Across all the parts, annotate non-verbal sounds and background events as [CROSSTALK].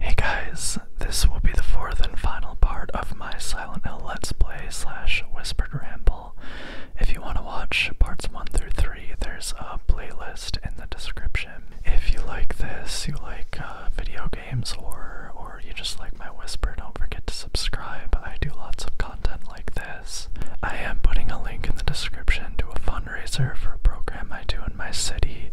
Hey guys, this will be the fourth and final part of my Silent Hill Let's Play slash Whispered Ramble. If you want to watch parts 1 through 3, there's a playlist in the description. If you like this, you like uh, video games, or, or you just like my whisper, don't forget to subscribe. I do lots of content like this. I am putting a link in the description to a fundraiser for a program I do in my city.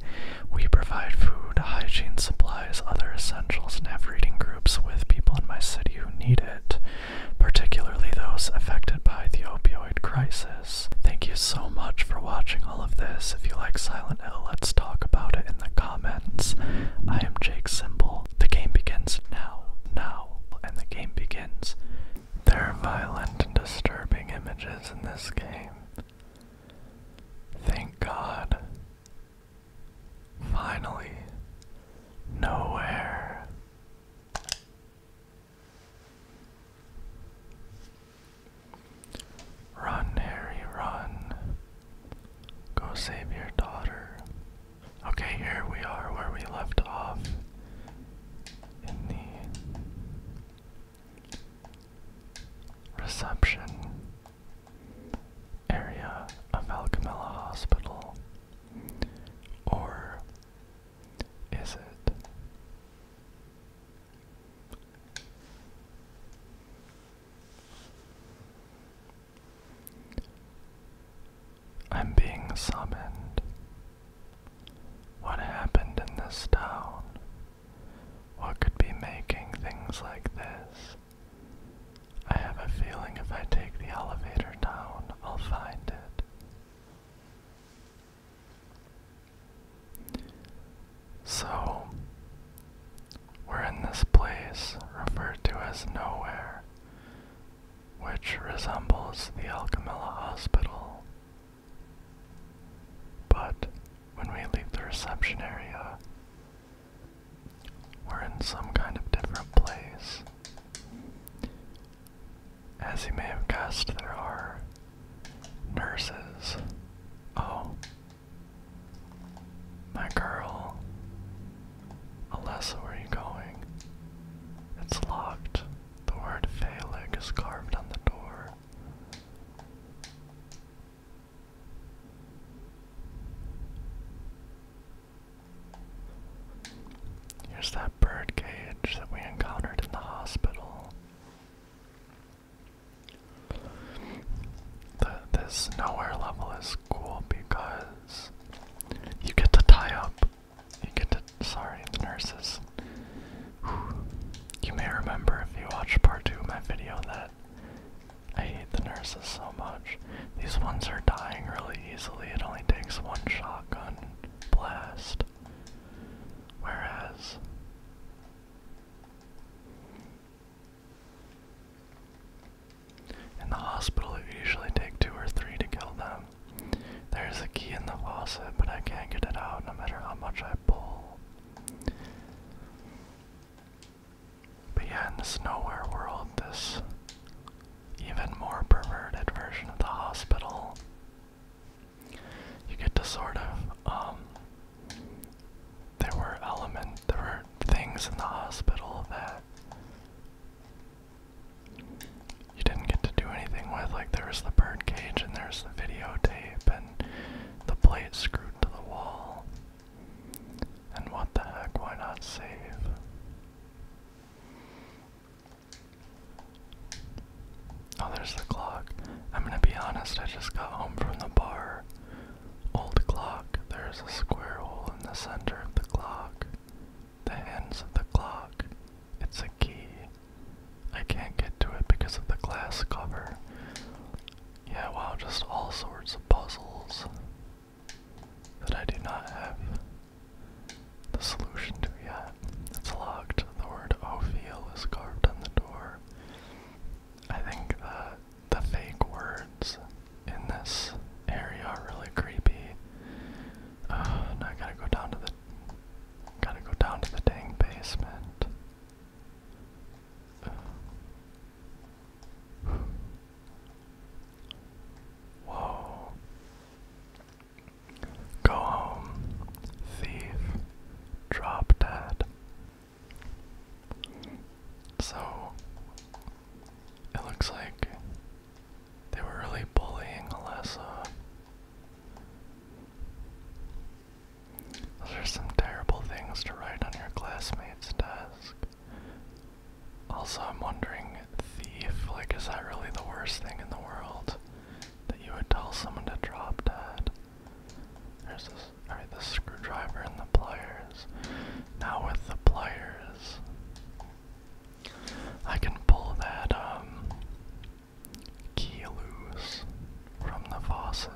We provide food, hygiene supplies, other essentials, and have reading groups with people in my city who need it, particularly those affected by the opioid crisis. Thank you so much for watching all of this. If you like Silent Hill, let's talk about it in the comments. I am Jake Simple. The game begins now, now, and the game begins. There are violent and disturbing images in this game. Thank God. Finally, nowhere. Run, Harry, run. Go save your daughter. Okay, here we are where we left off in the Reception area of Alcamilla Hospital, or is it? I'm being summoned. What happened in this town? What could be making things like this? I have a feeling if I take the elevator down, I'll find it. So, we're in this place referred to as Nowhere, which resembles the Alcamilla Hospital but when we leave the reception area, we're in some kind of different place. As you may have guessed, there are nurses. Oh. My girl. Alessa, where are you going? It's locked. The word Phalig is carved on the door. Here's that bird cage that we encountered in the hospital. this nowhere level is cool because you get to tie up. You get to. Sorry, nurses. You may remember if you watched part 2 of my video that I hate the nurses so much. These ones are dying really easily, it only takes one shotgun blast. Whereas. In the hospital, it usually take two or three to kill them. There's a key in the faucet, but I can't get it out no matter how much I pull. But yeah, in this nowhere world, this even more perverted version of the hospital, you get to sort of, um, there were elements, there were things in the hospital that you didn't get to do anything with, like there was the bird cage and there's the videotape and the plate screwed to the wall. And what the heck, why not save? Oh, there's the clock. I'm gonna be honest, I just got home from the bar. Old clock, there's a square hole in the center of the clock. The hands of the clock. It's a key. I can't get to it because of the glass cover. Yeah, wow, just all sorts of puzzles that I do not have the solution to yet. It's locked. The word Ophiel is carved on the door. I think the, uh, the fake words in this area are really creepy. Uh, I gotta go down to the gotta go down to the dang basement. Whoa. Go home, thief. Drop dead. So, it looks like they were really bullying Alessa. Those are some terrible things to write on your classmate's desk. Also, I'm wondering, thief, like, is that really the worst thing in the world that you would tell someone to drop dead? There's this, alright, the screwdriver and the pliers. Now with the pliers, I can pull that, um, Keelus from the faucet.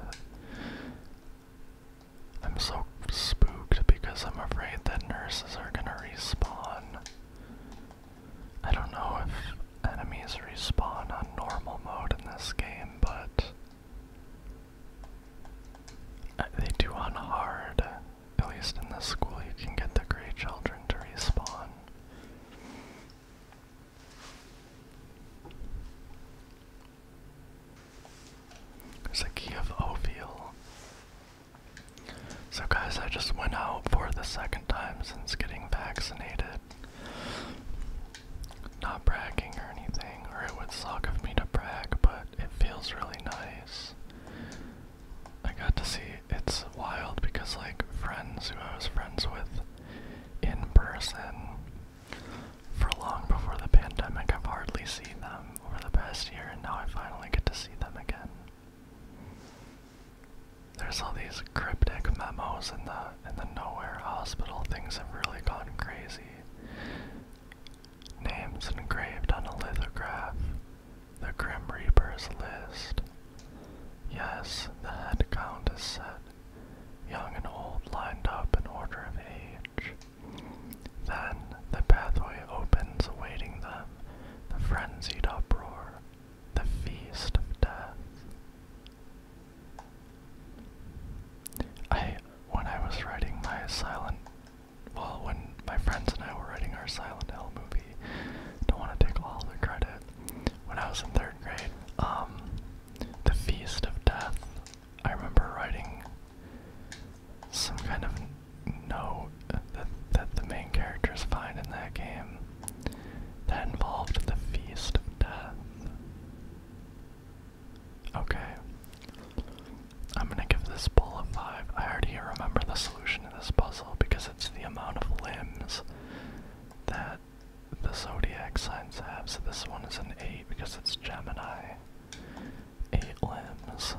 I'm so spooked because I'm afraid that nurses are gonna respawn. I don't know if enemies respawn on normal mode in this game, but they do on hard. At least in this school, you can get the Grey Children to respawn. It's a key of Ophiel. So guys, I just went out for the second time since getting vaccinated. Not bragging or anything, or it would suck of me to brag, but it feels really nice. I got to see it's wild because like friends who I was friends with in person for long before the pandemic, I've hardly seen them over the past year, and now I finally get to see them again. There's all these cryptic memos in the in the nowhere hospital. Things have really gone crazy. Names engraved on a lithograph. The Grim Reaper's list. Yes, the head count is set young and old lined up in order of age. Then the pathway opens awaiting them, the frenzied uproar, the feast of death. I, when I was writing my silent, well, when my friends and I were writing our Silent Hill movie, don't want to take all the credit. When I was in third grade, um, the feast of death I remember writing some kind of note that, that the main characters find in that game that involved the Feast Okay. I'm gonna give this bowl a 5. I already remember the solution to this puzzle because it's the amount of limbs that the zodiac signs have. So this one is an 8 because it's Gemini. 8 limbs.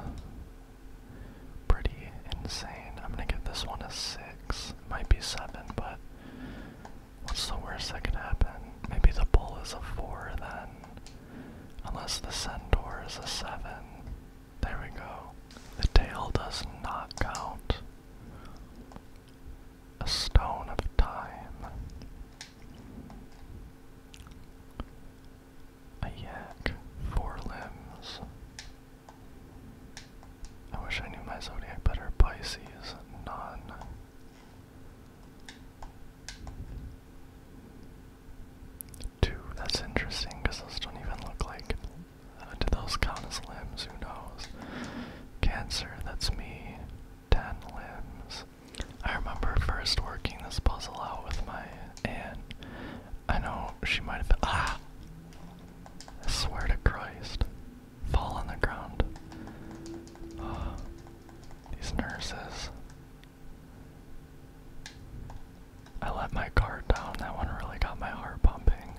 Pretty insane. I'm gonna give this one a 6. might be 7, but what's the worst that could happen? Maybe the bull is a 4 then. Unless the centaur is a 7. There we go. The tail does not count a stone of time. A yak, four limbs. I wish I knew my zodiac better. Pisces, none. Two, that's interesting because those don't even look like. Uh, those count as limbs? Who knows? Cancer, that's me ten limbs. I remember first working this puzzle out with my aunt. I know she might have been. Ah! I swear to Christ. Fall on the ground. Oh, [SIGHS] these nurses. I let my guard down. That one really got my heart pumping.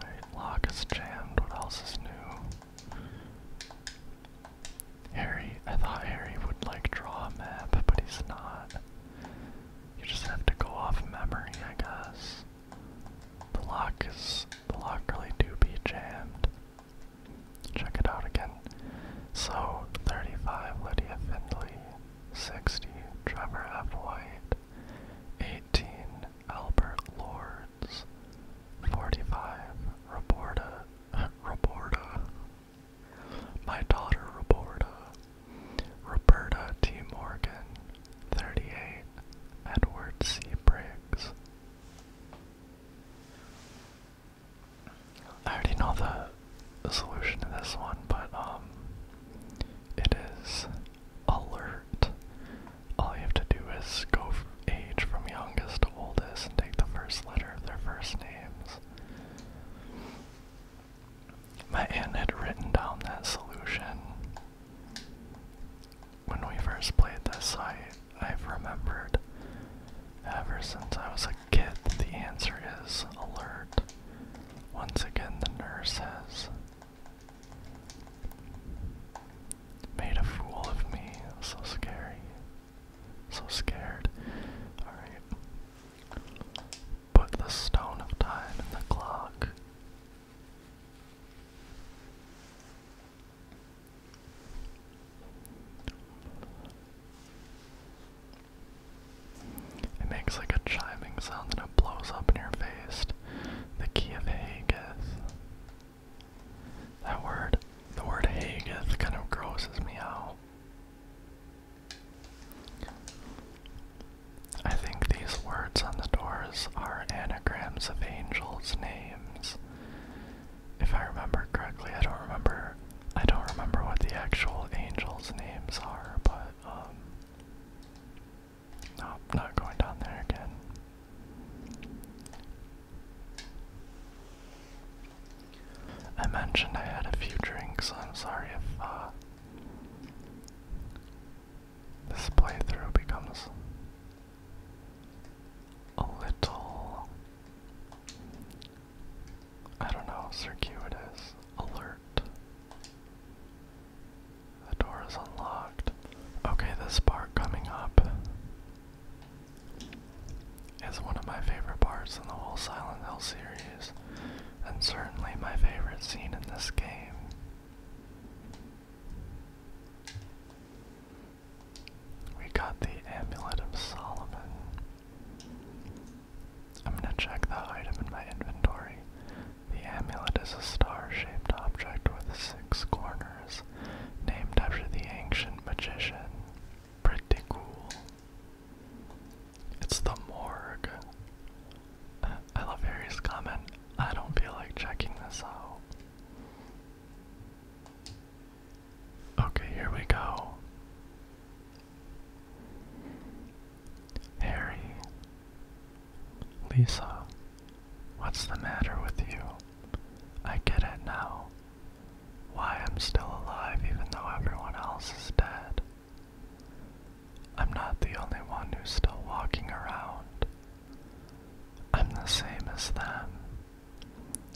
My lock is jammed. What else is new? Harry, I thought Harry would like draw a map, but he's not. You just have to go off memory, I guess. The lock is the lock really do be jammed. Check it out again. So 35 Lydia Findley, 60 Trevor F. White, 18 Albert Lords, 45. Roberta, [LAUGHS] Roberta, My daughter Roberta, Roberta T. Morgan. 38. Edward C. Briggs. I already know the solution to this one, but um, it is alert. All you have to do is go from age from youngest to oldest and take the first letter of their first names. My aunt had written down that solution. When we first played this, I, I've remembered ever since I was a kid the answer is alert. Once again, the nurse says. Made a fool of me. So scary. So scared. Alright. Put the stone of time in the clock. It makes like a chiming sound and it blows up in your face. The key of Hageth. That word, the word Haggith kind of grosses me out. I think these words on the doors are anagrams of angels' names. If I remember correctly, I don't remember I don't remember what the actual angels' names are, but um no, not going down there again. I mentioned I had a few drinks, I'm sorry if uh, this playthrough becomes a little, I don't know, circuitous, alert. The door is unlocked. Okay, this part coming up it's one of my favorite parts in the whole Silent Hill series, and certainly my favorite scene in this game. We got the Amulet of Solomon. I'm gonna check the item in my inventory. The amulet is a star shaped object with six corners named after the ancient magician. Pretty cool. It's the morgue. I love Harry's comment. I don't feel like checking this out. Okay, here we go. Harry. Lisa. What's the matter with you? I get it now. Why I'm still alive even though everyone else is dead. I'm not the only one who's still walking around. I'm the same as them.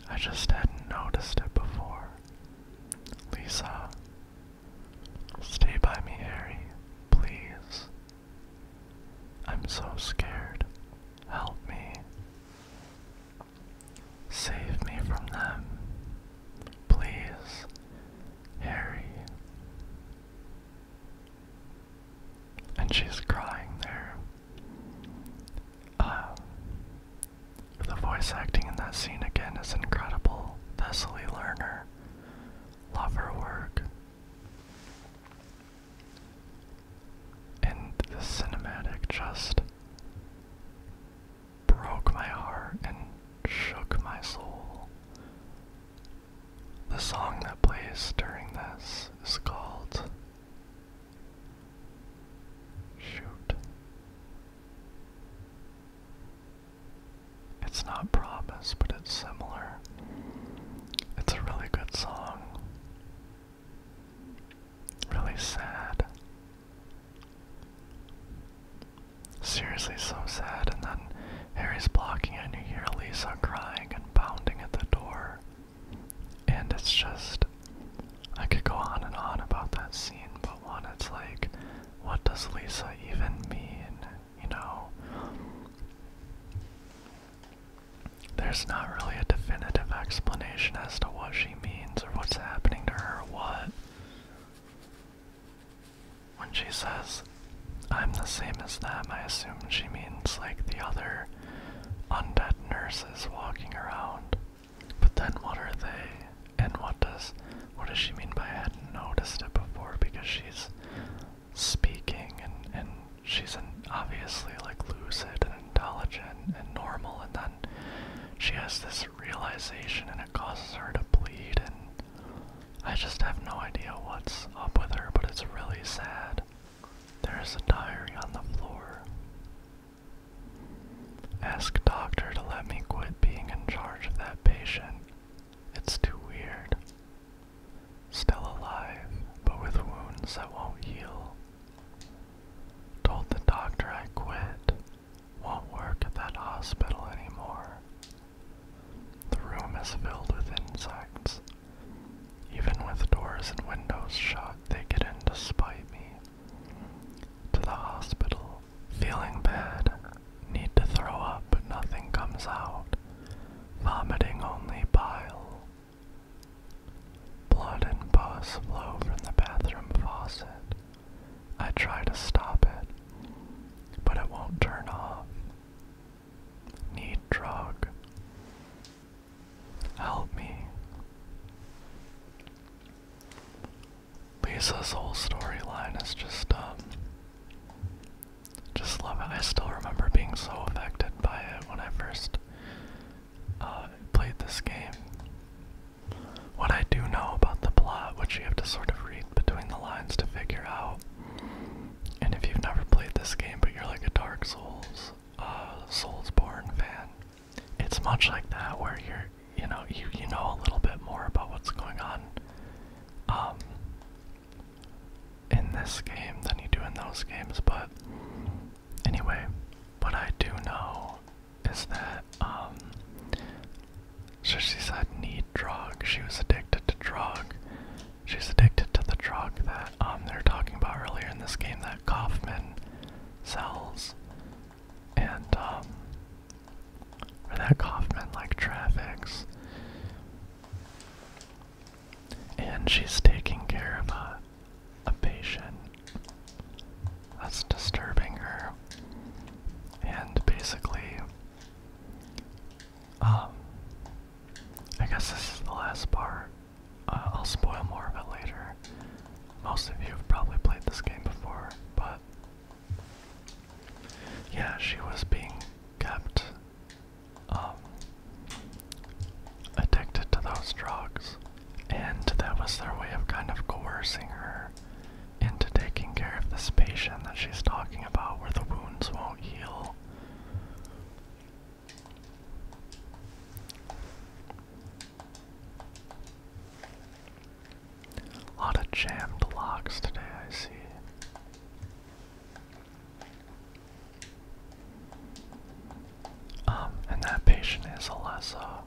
I just hadn't noticed it before. Lisa, stay by me, Harry, please. I'm so scared. Help me. Save me from them, please, Harry. And she's crying there. Uh, the voice acting in that scene again is incredible. Cecily Lerner. Love her work. And the cinematic just broke my heart and shook my soul. The song that plays during this is called. Shoot. It's not Promise, but it's similar. It's a really good song. Really sad. Seriously, so sad. And then Harry's blocking and you hear Lisa crying and pounding at the door. And it's just. I could go on and on about that scene, but one, it's like, what does Lisa even mean? You know? There's not really a definitive explanation as to what she means or what's happening to her or what. When she says, I'm the same as them, I assume she means like the other undead nurses walking around. But then what are they? And what does what does she mean by I hadn't noticed it before? Because she's speaking and, and she's obviously like lucid intelligent and normal, and then she has this realization and it causes her to bleed, and I just have no idea what's up with her, but it's really sad. There is a diary on the floor. Ask doctor to let me quit being in charge of that patient. It's too weird. Still alive, but with wounds that won't heal. Told the doctor I quit. Won't work at that hospital anymore. The room is filled with insects. Even with doors and windows shut, they get in to spite me. To the hospital. Feeling bad. Need to throw up, but nothing comes out. Vomiting only bile. Blood and pus flow from the bathroom faucet. I try to stop it, but it won't turn off. Need drug. Help me. Lisa's whole storyline is just, um, just love it. I still remember being so affected by it when I first uh, played this game. What I do know about the plot, which you have to sort of read between the lines to figure out, and if you've never played this game but you're like a Dark Souls, uh, Soulsborne fan, it's much like that where you're, you know, you you know a little bit more about what's going on, um, in this game than you do in those games, but Anyway, what I do know is that um so she said need drug. She was addicted to drug. She's addicted to the drug that um they're talking about earlier in this game that Kaufman sells. And um or that Kaufman like traffics. And she's taking care of a a patient that's disturbing her, and basically, um, I guess this is the last part. Uh, I'll spoil more of it later. Most of you have probably played this game before, but yeah, she was being kept um, addicted to those drugs. And that was their way of kind of coercing her into taking care of this patient that she's talking about where the wounds won't heal. A lot of jammed locks today, I see. Um, and that patient is Alessa.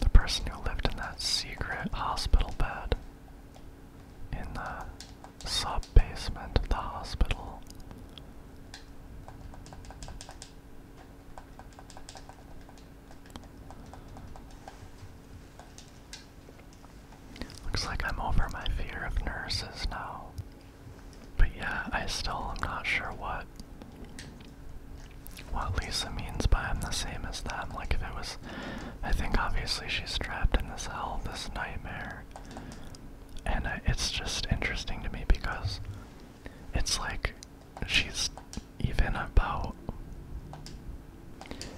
The person who lived in that secret hospital bed in the sub basement of the hospital. Looks like I'm over my fear of nurses now. But yeah, I still am not sure what what Lisa means by I'm the same as them. Like if it was I think obviously she's trapped in this hell, this nightmare. And it's just interesting to me because it's like she's even about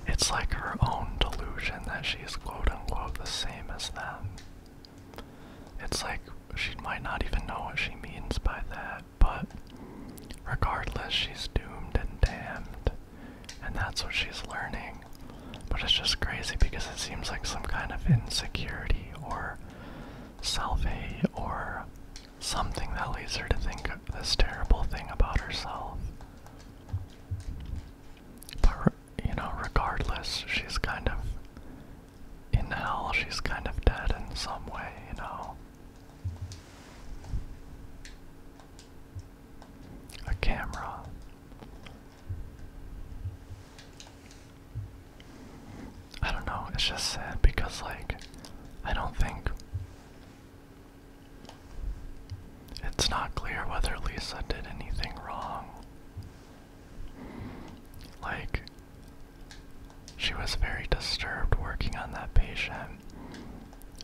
it's like her own delusion that she's quote unquote the same as them. It's like she might not even know what she means by that, but regardless, she's doomed and damned. And that's what she's learning. But it's just crazy because it seems like some kind of insecurity or self hate or something that leads her to think this terrible thing about herself. But, you know, regardless, she's kind of in hell she's kind of dead in some way, you know. A camera. I don't know, it's just sad because, like, I don't think. It's not clear whether Lisa did anything wrong. Like, she was very disturbed working on that patient.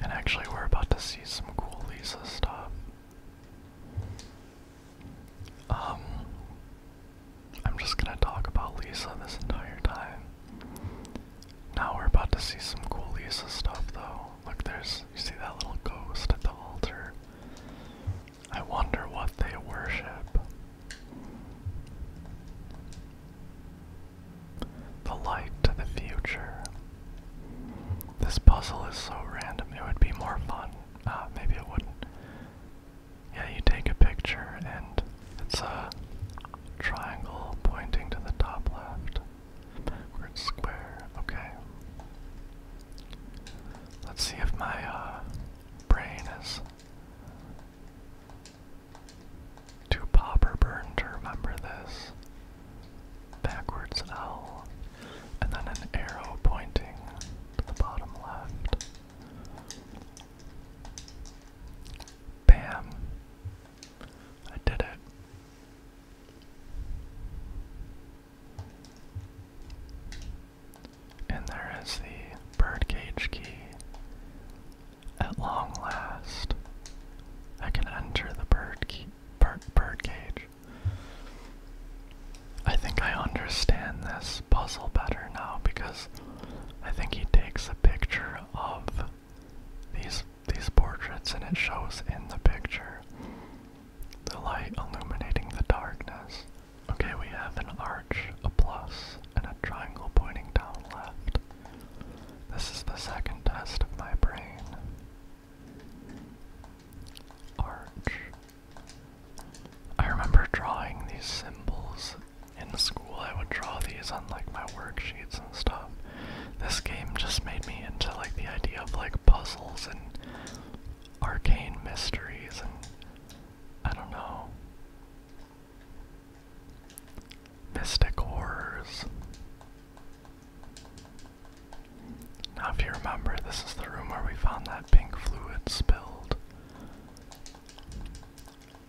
And actually, we're about to see some cool Lisa stuff. Um, I'm just gonna talk about Lisa this entire time. Now we're about to see some cool Lisa stuff, though. Look, there's, you see that little ghost at the altar? I wonder what they worship. The light to the future. This puzzle is so random, it would be more fun. Ah, maybe it wouldn't. Yeah, you take a picture and it's a triangle pointing to the top left. Backward square, okay. Let's see if my uh, brain is to popper burn to remember this. Backwards L. And then an arrow pointing to the bottom left. Bam. I did it. And there is the birdcage key. At long last, I can enter the bird bird cage. I think I understand this puzzle better now because I think he takes a picture of these these portraits and it shows in the picture the light illuminating the darkness. Okay, we have an arch, a plus, and a triangle pointing down left. This is the second test of my brain. Arch. I remember drawing these symbols in school. I would draw these on like my worksheets and stuff. This game just made me into like the idea of like puzzles and arcane mysteries and I don't know. Mystic Horrors. Now, if you remember, this is the room where we found that pink fluid spilled.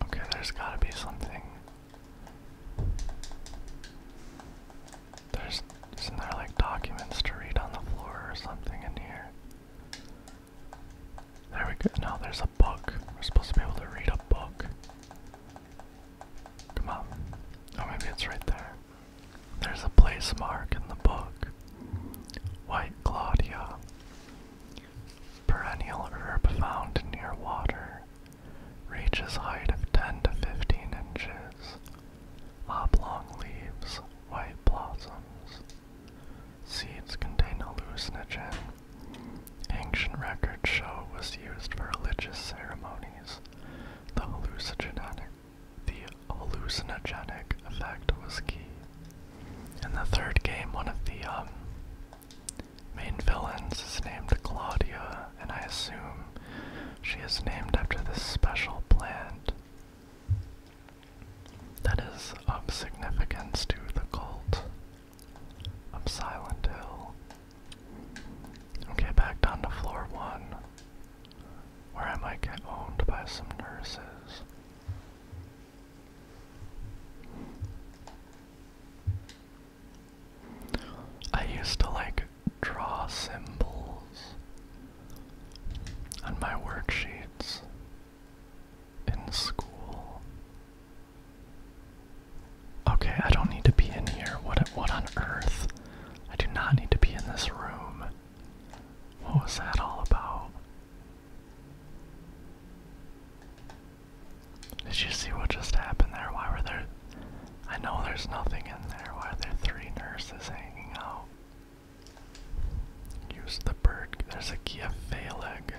Okay, there's gotta be something. There's, isn't there like documents to read on the floor or something in here? There we go. Now there's a book. We're supposed to be able to read a book. Come on. Oh, maybe it's right there. There's a place mark in the book. White Claudia. Perennial herb found near water. Reaches height of 10 to 15 inches. Oblong leaves, white blossoms. Seeds contain a hallucinogen. Ancient records show it was used for religious ceremonies. The hallucinogenic, effect was key. In the third game, one of the um, main villains is named Claudia, and I assume she is named after this special plant that is of significance to the cult of Silent Hill. Okay, back down to floor one, where I might get owned by some nurses. I used to like draw symbols on my worksheets in school. Okay, I don't need to be in here. What what on earth? I do not need to be in this room. What was that all about? Did you see what just happened there? Why were there I know there's nothing in there. Why are there three nurses hanging out? Use the bird. There's a Kia Phaleg.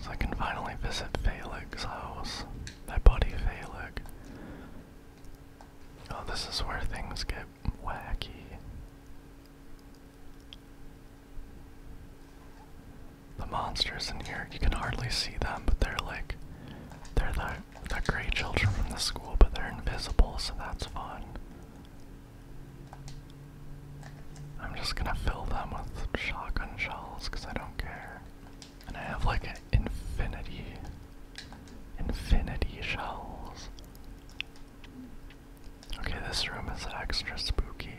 So I can finally visit Felix's house. My buddy Felix. Oh, this is where things get wacky. The monsters in here, you can hardly see them, but they're like. They're the, the gray children from the school, but they're invisible, so that's fun. I'm just gonna fill them with shotgun shells because I don't care. And I have like an infinity, infinity shells. Okay, this room is extra spooky.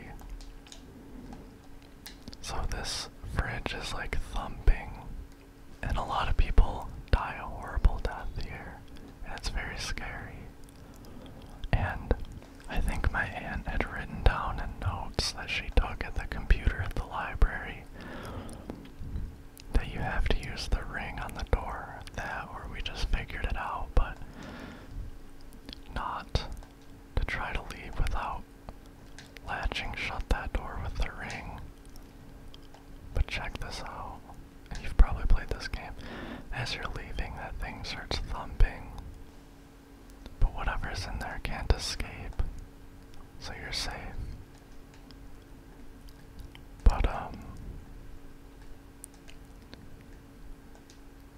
So this fridge is like thumping, and a lot of people die a horrible death here, and it's very scary. And I think my aunt had written down in notes that she took at the computer at the library that you have to use the ring on the door, that or we just figured it out, but not to try to leave without latching shut that door with the ring. But check this out. And you've probably played this game. As you're leaving, that thing starts thumping. But whatever's in there can't escape, so you're safe. But, um,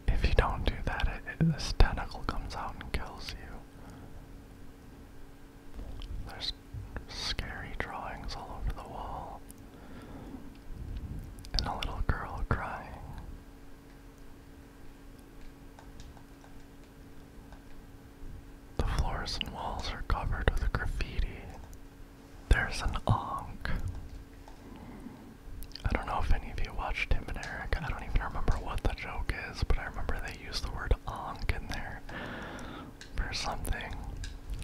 if you don't do that, it, it, this tentacle comes out and kills you. There's scary drawings all over the wall and a little girl crying. The floors and walls are covered with graffiti. There's an onk. I don't know if any of you watched Tim and Eric. I don't even remember what the joke is, but I remember they used the word onk in there for something.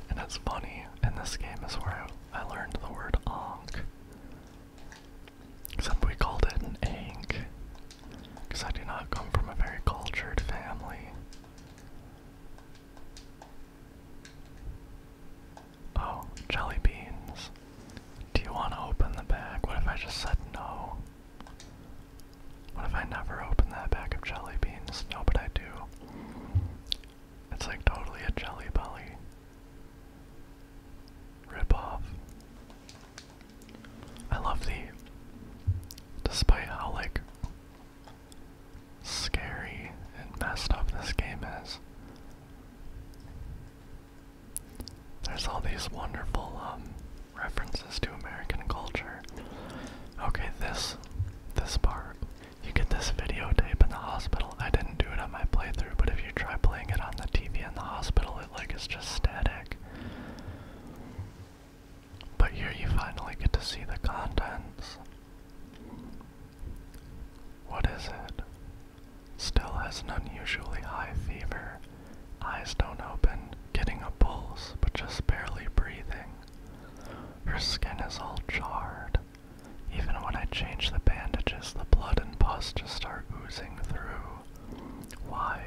And it's funny, and this game is where I, I learned the word onk. Somebody called it an egg. Because I do not come from a very cultured family. Oh, jelly beans. Do you want to open the bag? What if I just said no? What if I never open that bag of jelly beans? No, but I do. It's like totally a Jelly Belly ripoff. I love the, despite how like scary and messed up this game is. There's all these wonderful um, references to American culture. Okay, this this part. You get this videotape in the hospital. I didn't do it on my playthrough, but if you try playing it on the TV in the hospital, it like is just static. But here you finally get to see the contents. What is it? Still has an unusually high fever. Eyes don't open, getting a pulse, but just barely breathing. Her skin is all charred. Even when I change the bandages, the blood and pus just start oozing through. Why?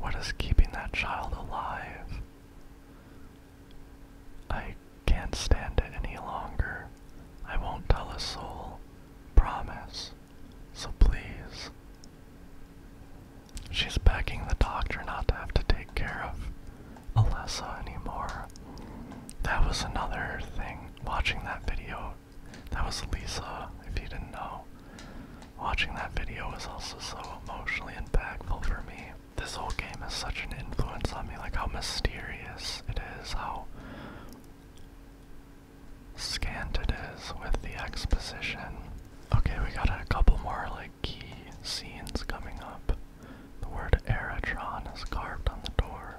What is keeping that child alive? I can't stand it any longer. I won't tell a soul. Promise. So please. She's begging the doctor not to have to take care of Alessa anymore. That was another thing watching that video, that was Lisa, if you didn't know. Watching that video was also so emotionally impactful for me. This whole game has such an influence on me, like how mysterious it is, how scant it is with the exposition. Okay, we got a couple more like key scenes coming up. The word Aerotron is carved on the door.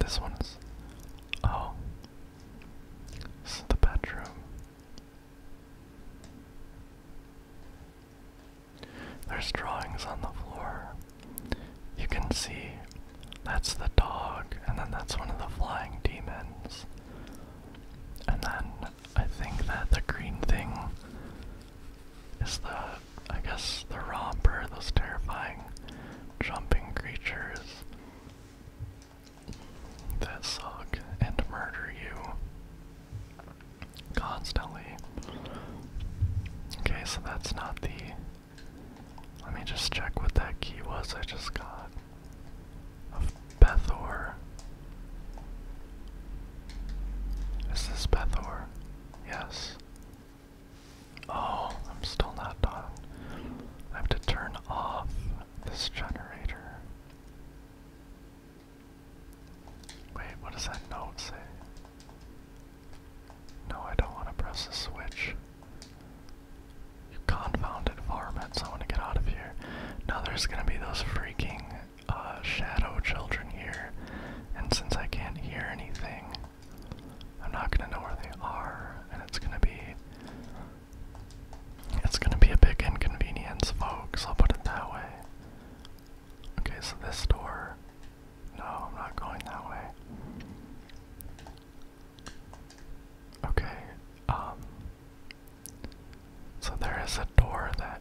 This one's. Oh. This is the bedroom. There's drawings on the floor. You can see that's the dog, and then that's one of the flying demons. And then I think that the green thing is the I guess the romper, those terrifying jumping creatures that suck and murder you constantly. Okay, so that's not the. Let me just check what that key was I just got. Of Bethor. Is this Bethor? Yes. Oh, I'm still not done. I have to turn off this generator. Wait, what does that note say? No, I don't want to press the switch. confounded varmints, I want to get out of here. Now there's gonna be those freaking uh, shadow children here, and since I can't hear anything, I'm not gonna know where they are, and it's gonna be it's gonna be a big inconvenience, folks. I'll put it that way. Okay, so this door. No, I'm not going that way. Okay, um. So there is a door that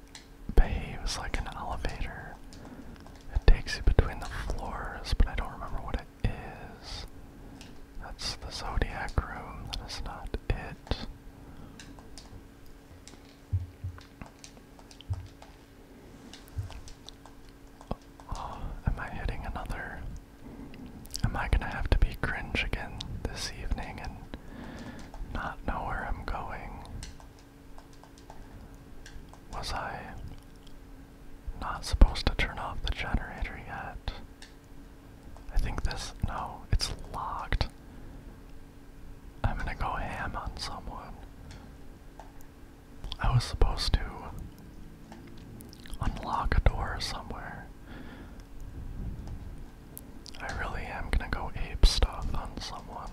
behaves like an elevator. It takes you between the floors, but I don't remember what it is. That's the Zodiac Room. That is not it. Oh, am I hitting another? Am I gonna have to be cringe again this evening and not know where I'm going? Was I not supposed to turn off the generator yet. I think this. No, it's locked. I'm gonna go ham on someone. I was supposed to unlock a door somewhere. I really am gonna go ape stuff on someone.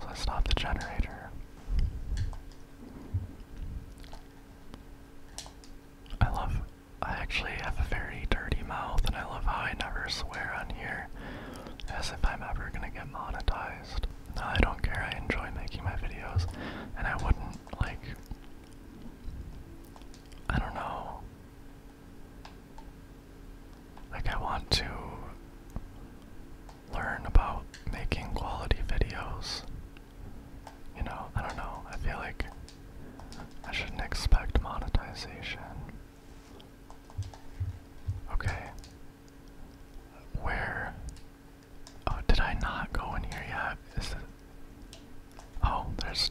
So I stop the generator. I love. I actually have a very dirty mouth, and I love how I never swear on here, as if I'm ever gonna get monetized. No, I don't care. I enjoy making my videos, and I wouldn't like. I don't know. Like, I want to learn about making quality videos you know, I don't know. I feel like I shouldn't expect monetization. Okay. Where? Oh, did I not go in here yet? Is it? Oh, there's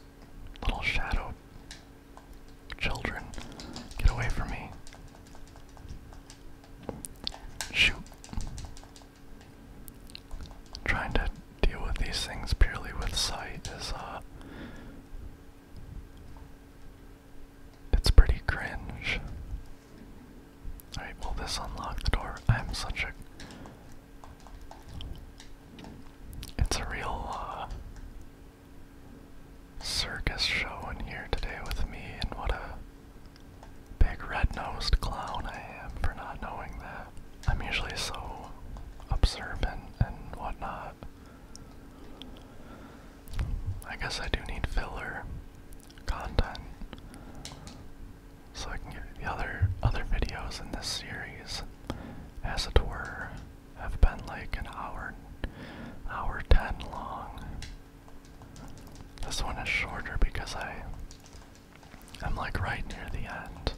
little shadow children. Get away from me. Shoot. Trying to deal with these things purely with sight is uh it's pretty cringe. Alright, will this unlock the door? I'm such a it's a real uh, circus show in here today with me and what a big red-nosed clown I am for not knowing that. I'm usually so observant and whatnot. I guess I do need filler content so I can give the other other videos in this series, as it were, have been like an hour, hour ten long. This one is shorter because I I'm like right near the end.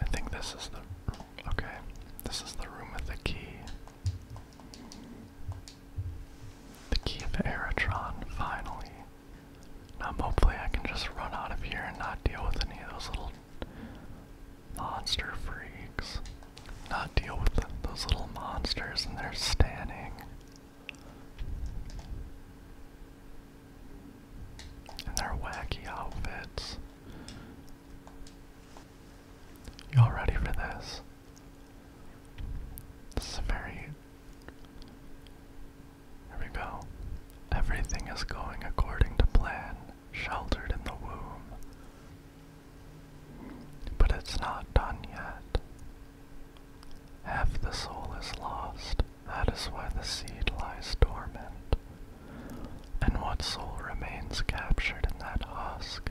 I think this is the. Okay. This is the room with the key. The key of Aerotron, finally. Now, hopefully, I can just run out of here and not deal with any of those little monster freaks not deal with those little monsters and they're standing. And their wacky outfits. Y'all ready for this? This is very. Here we go. Everything is going according to plan, sheltered in the womb. But it's not done yet. Half the soul is lost, that is why the seed lies dormant. And what soul remains captured in that husk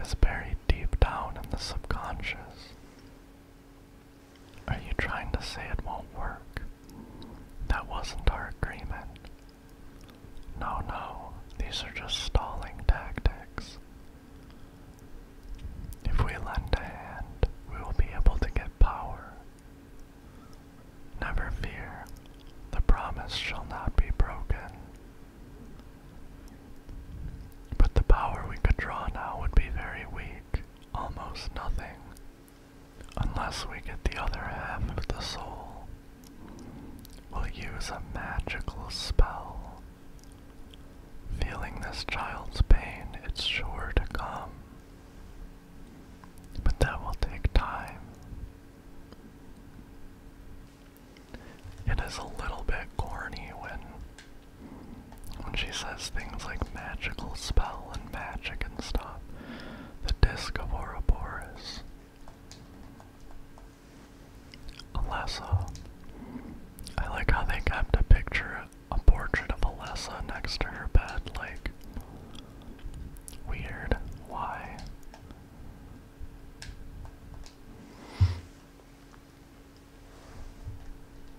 is buried deep down in the subconscious. Are you trying to say it won't work? That wasn't our agreement. No, no, these are just stalling tactics. If we lend a hand, we will be able to get power. Never fear, the promise shall not be broken. But the power we could draw now would be very weak, almost nothing, unless we get the other half of the soul. We'll use a magical spell Feeling this child's pain, it's sure to come. But that will take time. It is a little bit corny when when she says things like magical spell and magic and stuff. The disc of Ouroboros. Alessa. I like how they kept a picture, a portrait of Alessa next to her bed, like, weird. Why?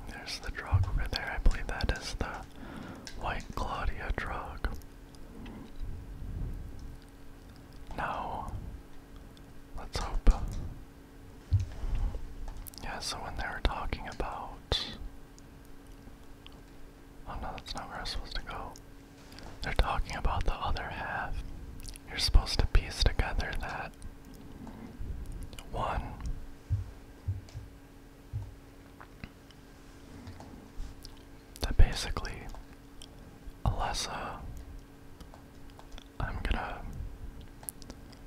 There's the drug over there. I believe that is the White Claudia drug. No. Let's hope yeah, so when they were talking about. Oh no, that's not where I was supposed to go. They're talking about the other half. You're supposed to piece together that one that basically Alessa I'm gonna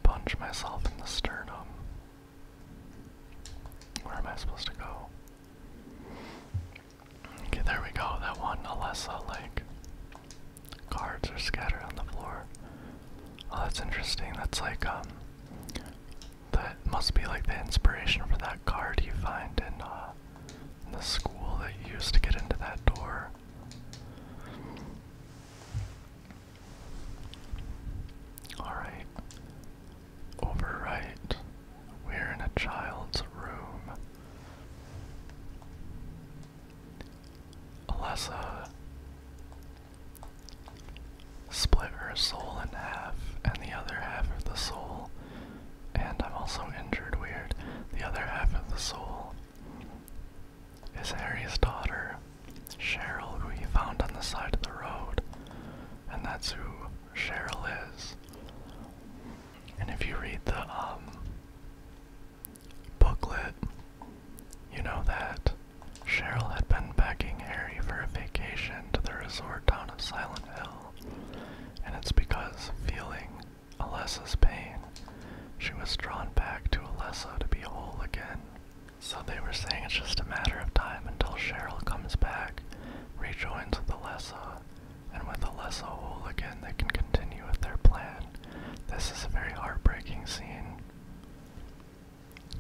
punch myself in the sternum. Where am I supposed to go? Okay, there we go. That one Alessa Lake. cards are scattered on the floor. Oh, that's interesting. That's like um that must be like the inspiration for that card you find in uh, the school that you used to get into that door. Alright. Over We're in a child's room. Alessa split her soul in half, and the other half of the soul, and I'm also injured, weird, the other half of the soul is Harry's daughter, Cheryl, who he found on the side of the road. And that's who Cheryl is. And if you read the um, booklet, you know that Cheryl had been begging Harry for a vacation to the resort town of Silent Hill. And it's because feeling Alessa's pain. She was drawn back to Alessa to be whole again. So they were saying it's just a matter of time until Cheryl comes back, rejoins with Alessa, and with Alessa whole again they can continue with their plan. This is a very heartbreaking scene.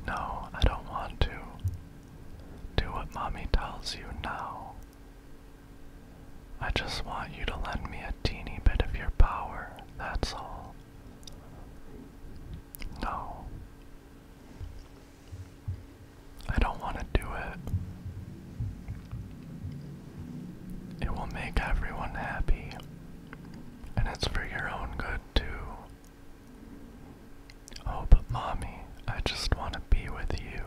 No, I don't want to. Do what mommy tells you now. I just want you to lend me a teeny bit of your power, that's all. No. I don't want to do it. It will make everyone happy, and it's for your own good, too. Oh, but mommy, I just want to be with you.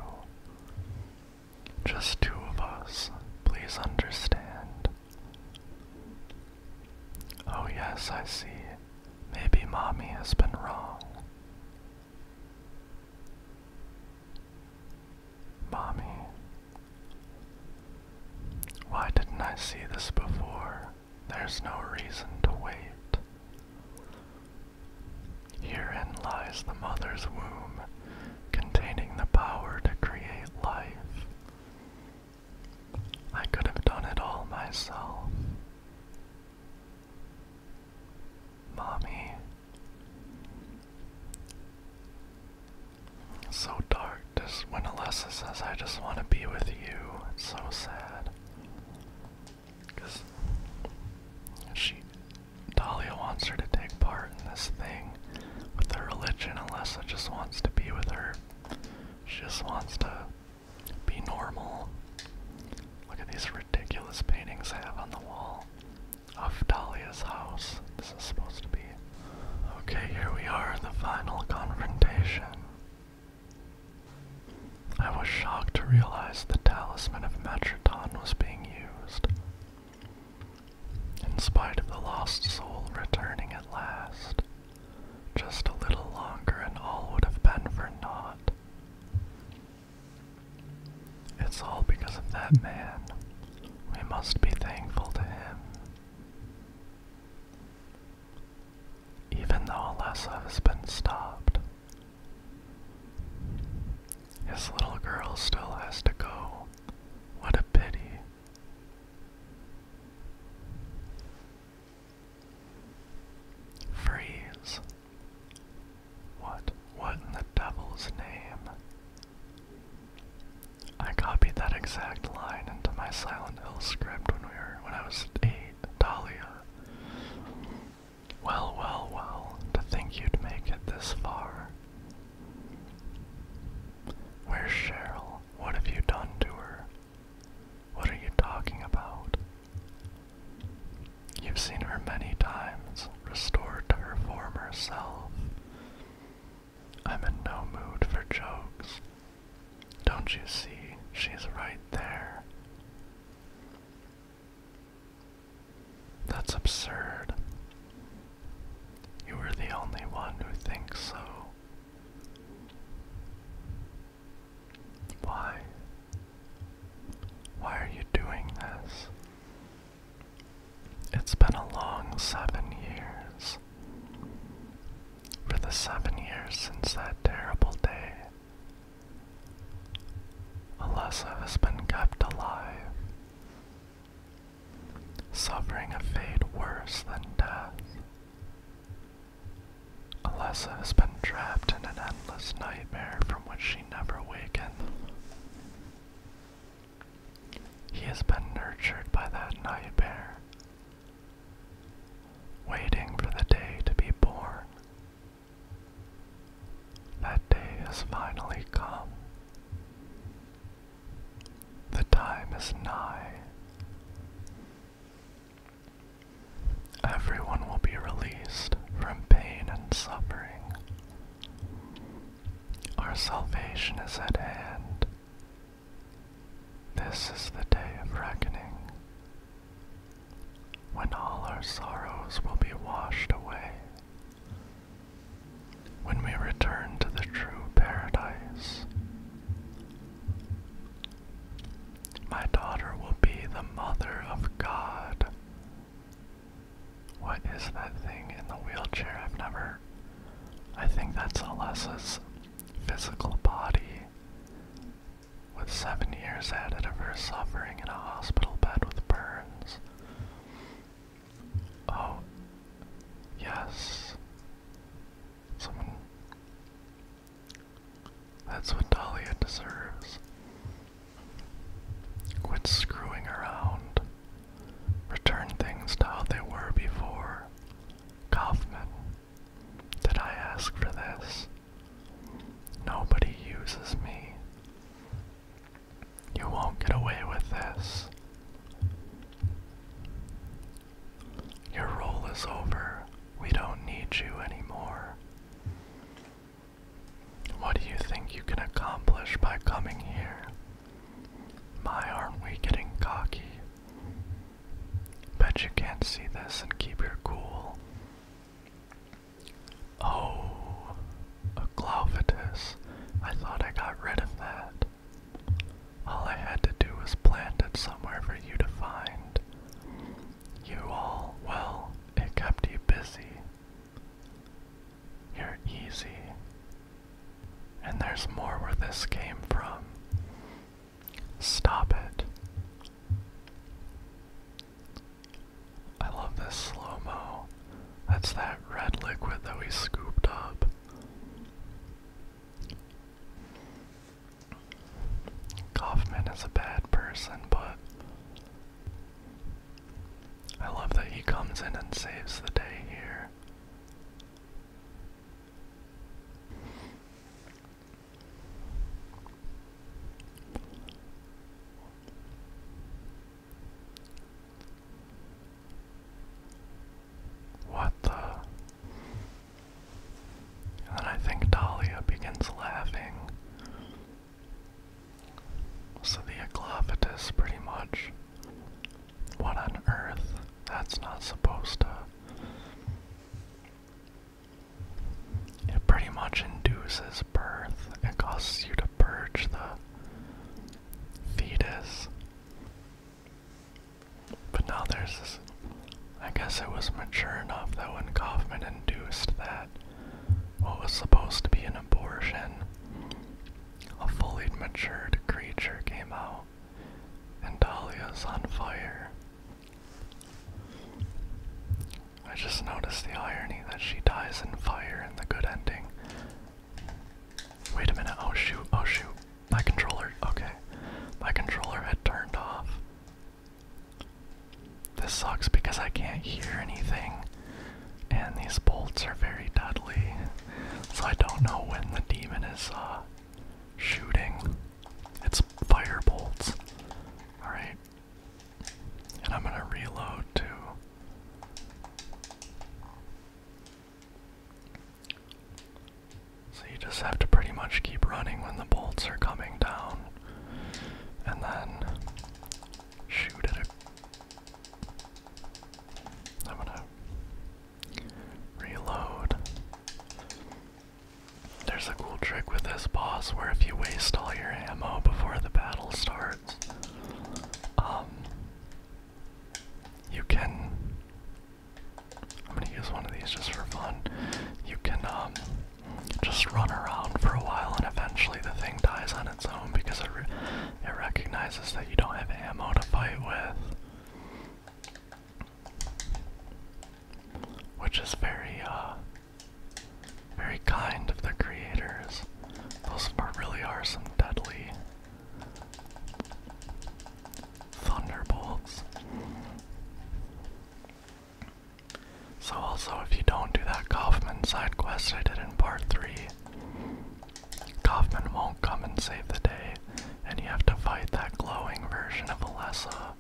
Just two of us. Please understand. Oh, yes, I see. Maybe mommy has been wrong. Mommy. Why didn't I see this before? There's no reason to wait. Herein lies the mother's womb, containing the power to create life. I could have done it all myself. Mommy. So dark, just when Alessa says, I just want to be with you, it's so sad. Because she, Dahlia wants her to take part in this thing, with her religion Alessa just wants to be with her. She just wants to be normal. Look at these ridiculous paintings I have on the wall of Dahlia's house. This is supposed to be. Okay, here we are, in the final confrontation. I was shocked to realize the talisman of Metroton was being used. In spite of the lost soul returning at last, just a little longer and all would have been for naught. It's all because of that man. We must be thankful to him. Even though Alessa has been stopped, his little girl still has to go. What a pity. Freeze. What? What in the devil's name? I copied that exact line into my Silent Hill script when we were when I was eight, Dahlia. Well, well, well, to think you'd make it this far. Where's Cheryl? What have you done to her? What are you talking about? You've seen her many times, restored to her former self. I'm in no mood for jokes. Don't you see? She's right there. That's absurd. You are the only one who thinks so. Why? Why are you doing this? It's been a long seven years. For the seven years since that terrible day, Alessa has been kept alive suffering a fate worse than death. Alessa has been trapped in an endless nightmare from which she never wakened. He has been nurtured by that nightmare, waiting for the day to be born. That day has finally come. The time is nigh. Everyone will be released from pain and suffering. Our salvation is at hand. This is the day of reckoning, when all our sorrows will be washed away, when we return to the true paradise. My daughter will be the mother of God. What is that thing in the wheelchair? I've never. I think that's Alessa's physical body, with seven years added of her suffering in a hospital bed with burns. Oh. Yes. Someone. That's what Dalia deserves. Quit screwing around. Return things to how they were before. Kaufman, did I ask for this? Nobody uses me. You won't get away with this. Your role is over. We don't need you anymore. What do you think you can accomplish by coming here? Why aren't we getting cocky? Bet you can't see this and keep your cool. Oh, a I thought I got rid of that. All I had to do was plant it somewhere for you to find. You all, well, it kept you busy. You're easy. And there's more where this came from. Stop it. I love this slow mo. That's that red liquid that we scooped up. Kaufman is a bad person, but I love that he comes in and saves the day here. What the? And then I think Dahlia begins laughing. So the Aglavitus pretty much. What on earth? That's not supposed to. It pretty much induces birth. It causes you to purge the fetus. But now there's I guess it was mature enough that when Kaufman induced that, what was supposed to be an abortion, a fully matured creature came out, and Dahlia's on fire. I just noticed the irony that she dies in fire in the good ending, Wait a minute, oh shoot, oh shoot. My controller, okay. My controller had turned off. This sucks because I can't hear anything, and these bolts are very deadly, so I don't know when the demon is uh, shooting. It's fire bolts. Alright. And I'm gonna reload too. So you just have to pretty much keep running when the bolts are coming down and then shoot at it. I'm gonna reload. There's a cool trick with this boss where if you waste all your ammo before the battle starts, um, you can I'm gonna use one of these just for fun. You can um, just run around for a while, and eventually the thing dies on its own because it, it recognizes that you don't have ammo to fight with, which is very uh, very kind of the creators. Those are, really are some deadly Thunderbolts. So, also, if you don't do that Kaufman side quest I did in part 3, Kaufman won't come and save the day, and you have to fight that glowing version of Alessa.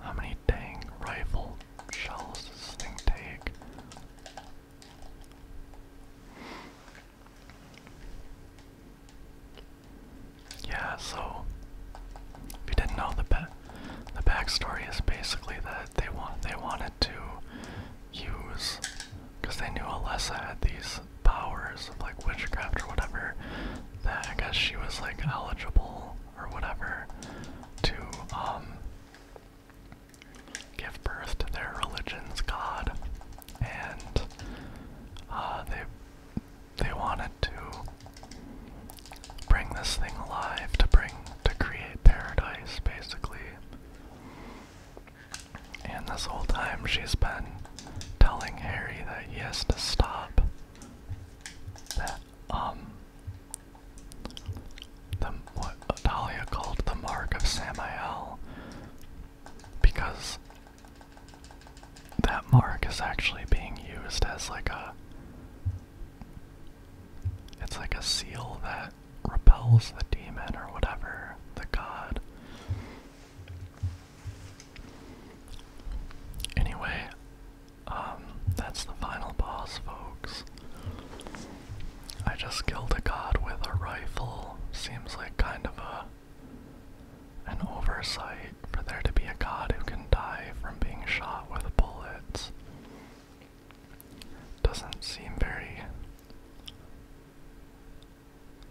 How many dang rifle shells does this thing take? Yeah, so if you didn't know the the backstory is basically that they want they wanted to use because they knew Alessa had these powers of like witchcraft or whatever that I guess she was like eligible or whatever to um give birth to their religion's god, and uh, they they wanted to bring this thing alive to bring to create paradise, basically. And this whole time, she's been telling Harry that he has to stop. That um, the, what Adalia called the Mark of Samuel, because that mark is actually being used as like a. It's like a seal that repels the demon or whatever, the god. Anyway, um, that's the final boss, folks. I just killed a god with a rifle. Seems like kind of a an oversight for there to be a god who can die from being shot with bullets. Doesn't seem very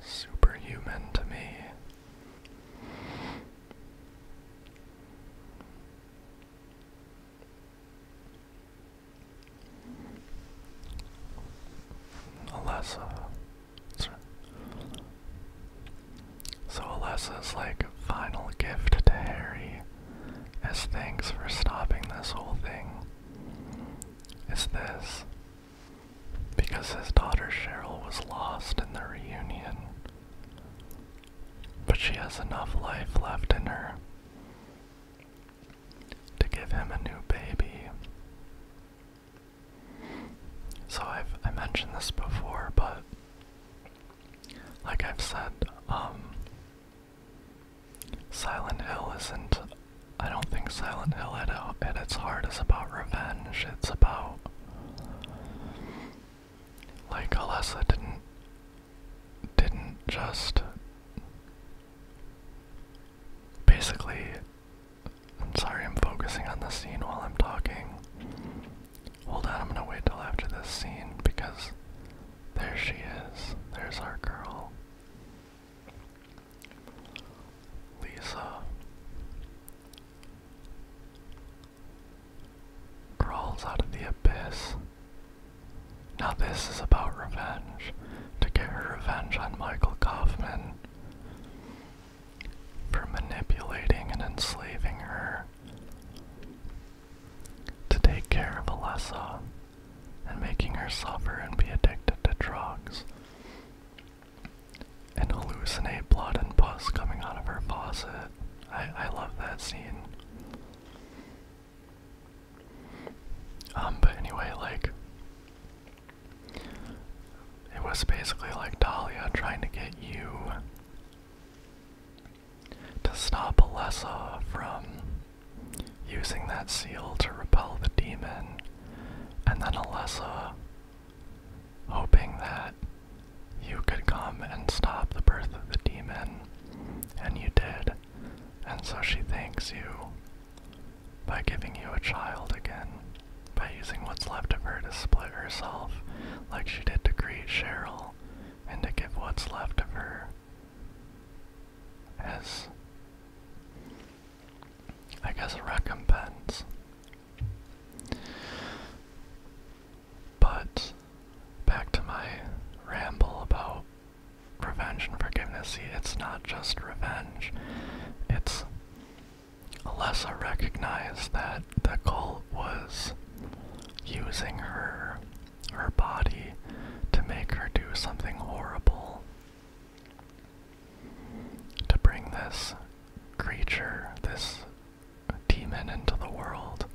superhuman to me. Alessa. Uh, so Alessa's like final gift to Harry as thanks for stopping this whole thing is this. Because his daughter Cheryl was lost in the reunion. But she has enough life left in her to give him a new baby. So I've I mentioned this before, but like I've said, um Silent Hill isn't I don't think Silent Hill at, at its heart is about revenge. It's about like Alessa didn't didn't just basically I'm sorry I'm focusing on the scene while I'm talking. Hold on, I'm gonna wait till after this scene because there she is. There's our girl. Lisa crawls out of the abyss now, this is about revenge to get her revenge on Michael Kaufman for manipulating and enslaving her to take care of Alessa and making her suffer and be addicted to drugs and hallucinate blood and pus coming out of her faucet. I, I love that scene. Um, but anyway, like, it was basically like Dahlia trying to get you to stop Alessa from using that seal to repel the demon, and then Alessa hoping that you could come and stop the birth of the demon, and you did and so she thanks you by giving you a child again, by using what's left of her to split herself, like she did to create Cheryl, and to give what's left of her as, I guess, a recompense. But back to my ramble about Prevention, forgiveness. See, it's not just revenge. It's Alessa recognized that the cult was using her, her body, to make her do something horrible. To bring this creature, this demon into the world.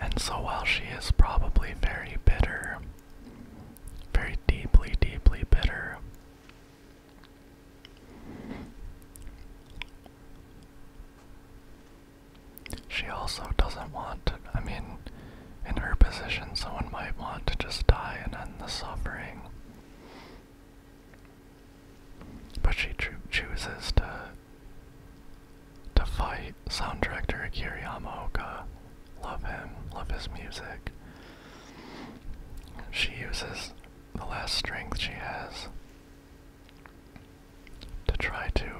And so while she is probably very bitter, very deeply, deeply bitter, she also doesn't want I mean, in her position, someone might want to just die and end the suffering. But she chooses to to fight. Sound director Akira Yamaoka. Love him, love his music. She uses the last strength she has to try to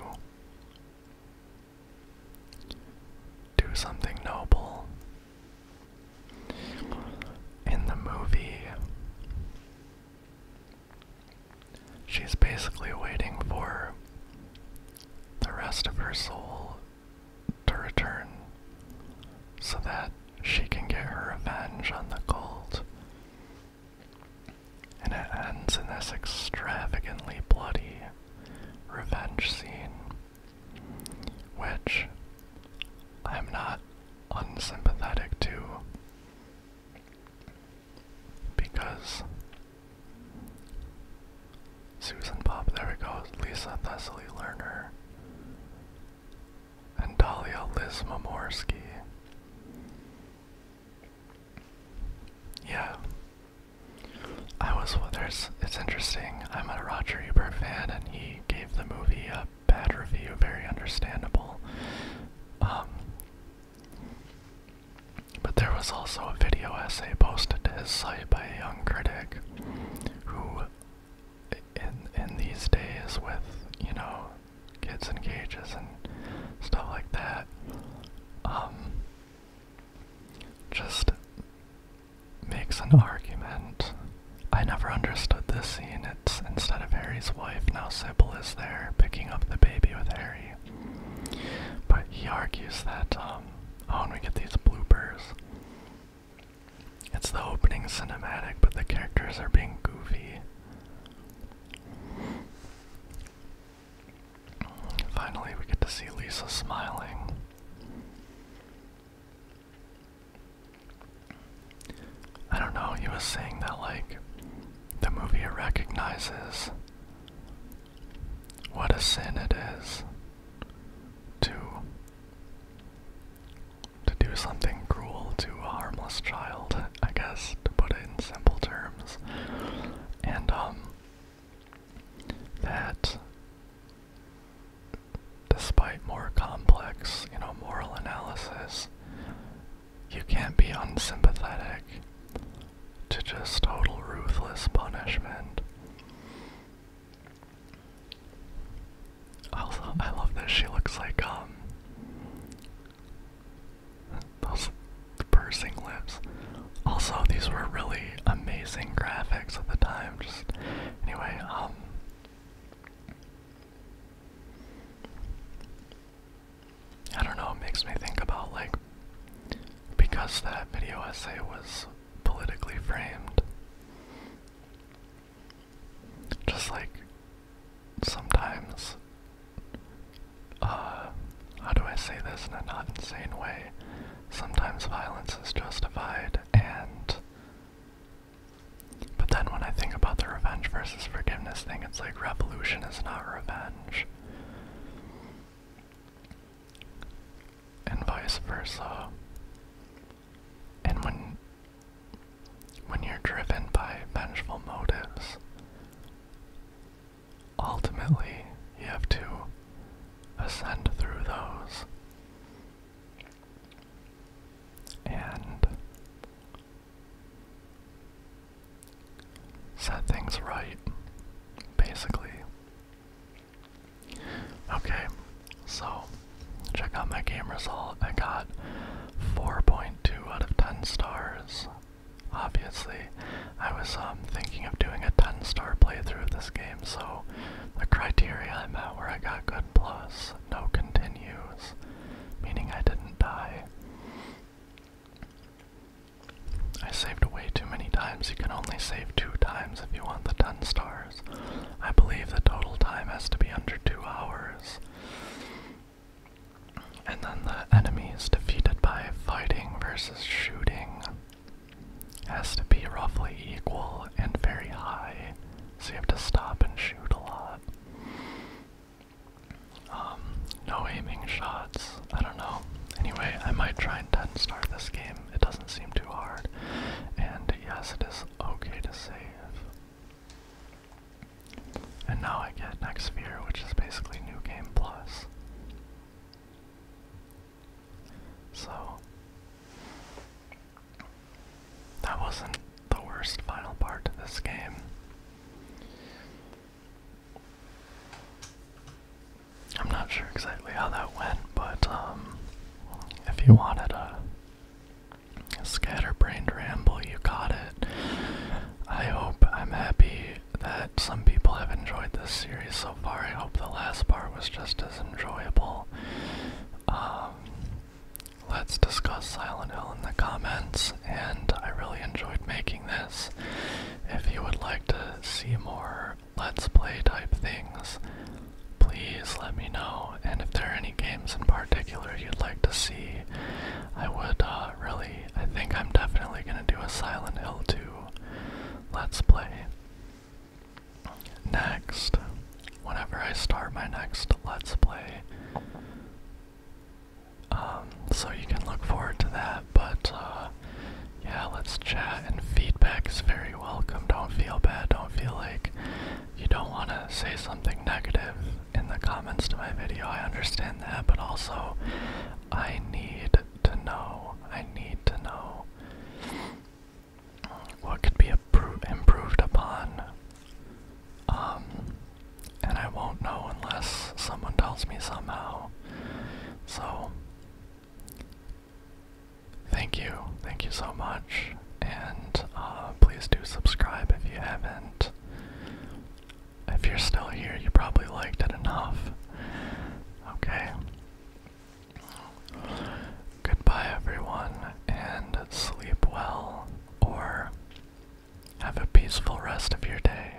do something noble. In the movie, She's basically waiting for the rest of her soul to return so that she can get her revenge on the cult. And it ends in this extravagantly bloody revenge scene, which I'm not unsympathetic to because Susan Pop, there we go, Lisa Thessaly Lerner, and Dalia Liz Momorsky. Yeah. I was well, there's it's interesting. I'm a Roger Ebert fan and he gave the movie a bad review, very understandable. Um, but there was also a video essay posted to his site by a young critic who in in these days with, you know, kids in cages and stuff like that, um just makes an argument. I never understood this scene. It's instead of Harry's wife, now Sybil is there picking up the baby with Harry. But he argues that, um, oh, and we get these bloopers. It's the opening cinematic, but the characters are being goofy. Finally, we get to see Lisa smiling. I don't know, he was saying that, like, the movie recognizes what a sin it is to to do something cruel to a harmless child, I guess, to put it in simple terms. And um that despite more complex, you know, moral analysis, you can't be unsympathetic to just total ruthless punishment. Also, I love this. She looks like, um, those pursing lips. Also, these were really amazing graphics at the time. Just, anyway, um, I don't know, it makes me think about like because that video essay was politically framed. Just like sometimes, uh, how do I say this in a not insane way? Sometimes violence is justified, and. But then when I think about the revenge versus forgiveness thing, it's like revolution is not revenge and vice versa. And when when you're driven by vengeful motives, ultimately you have to ascend through those. And set things right, basically. Okay, so check out my game result. I got 4.2 out of 10 stars. Obviously, I was um, thinking of doing a 10 star playthrough of this game, so the criteria I met where I got good plus, no continues, meaning I didn't die. I saved way too many times. You can only save two times if you want the 10 stars. I believe the total time has to be under two hours. And then the enemy is defeated by fighting versus shooting. Has to be roughly equal and very high, so you have to stop and shoot a lot. Um, no aiming shots. I don't know. Anyway, I might try and start this game. It doesn't seem too hard. And yes, it is okay to save. And now I get next sphere, which is basically new game plus. So that wasn't the worst final part of this game. I'm not sure exactly how that went, but um, if you wanted a, scatterbrained ramble, you got it. I hope I'm happy that some people have enjoyed this series so far. I hope the last part was just as enjoyable. Um, let's discuss Silent Hill in the comments, and I really enjoyed making this. If you would like to see more Let's Play type things, please let me know. And if there are any games in particular you'd like to see, I would uh, really, I think I'm definitely going to do a Silent Hill 2 Let's Play. Next, whenever I start my next Let's Play, um, so you can look forward to that, but uh, yeah, let's chat and feedback is very welcome. Don't feel bad. Don't feel like you don't want to say something negative in the comments to my video. I understand that, but also I need to know. I need to know what could be improved upon. Um, and I won't know unless someone tells me somehow. So, Thank you, thank you so much, and uh, please do subscribe if you haven't. If you're still here, you probably liked it enough. Okay. Goodbye, everyone, and sleep well, or have a peaceful rest of your day.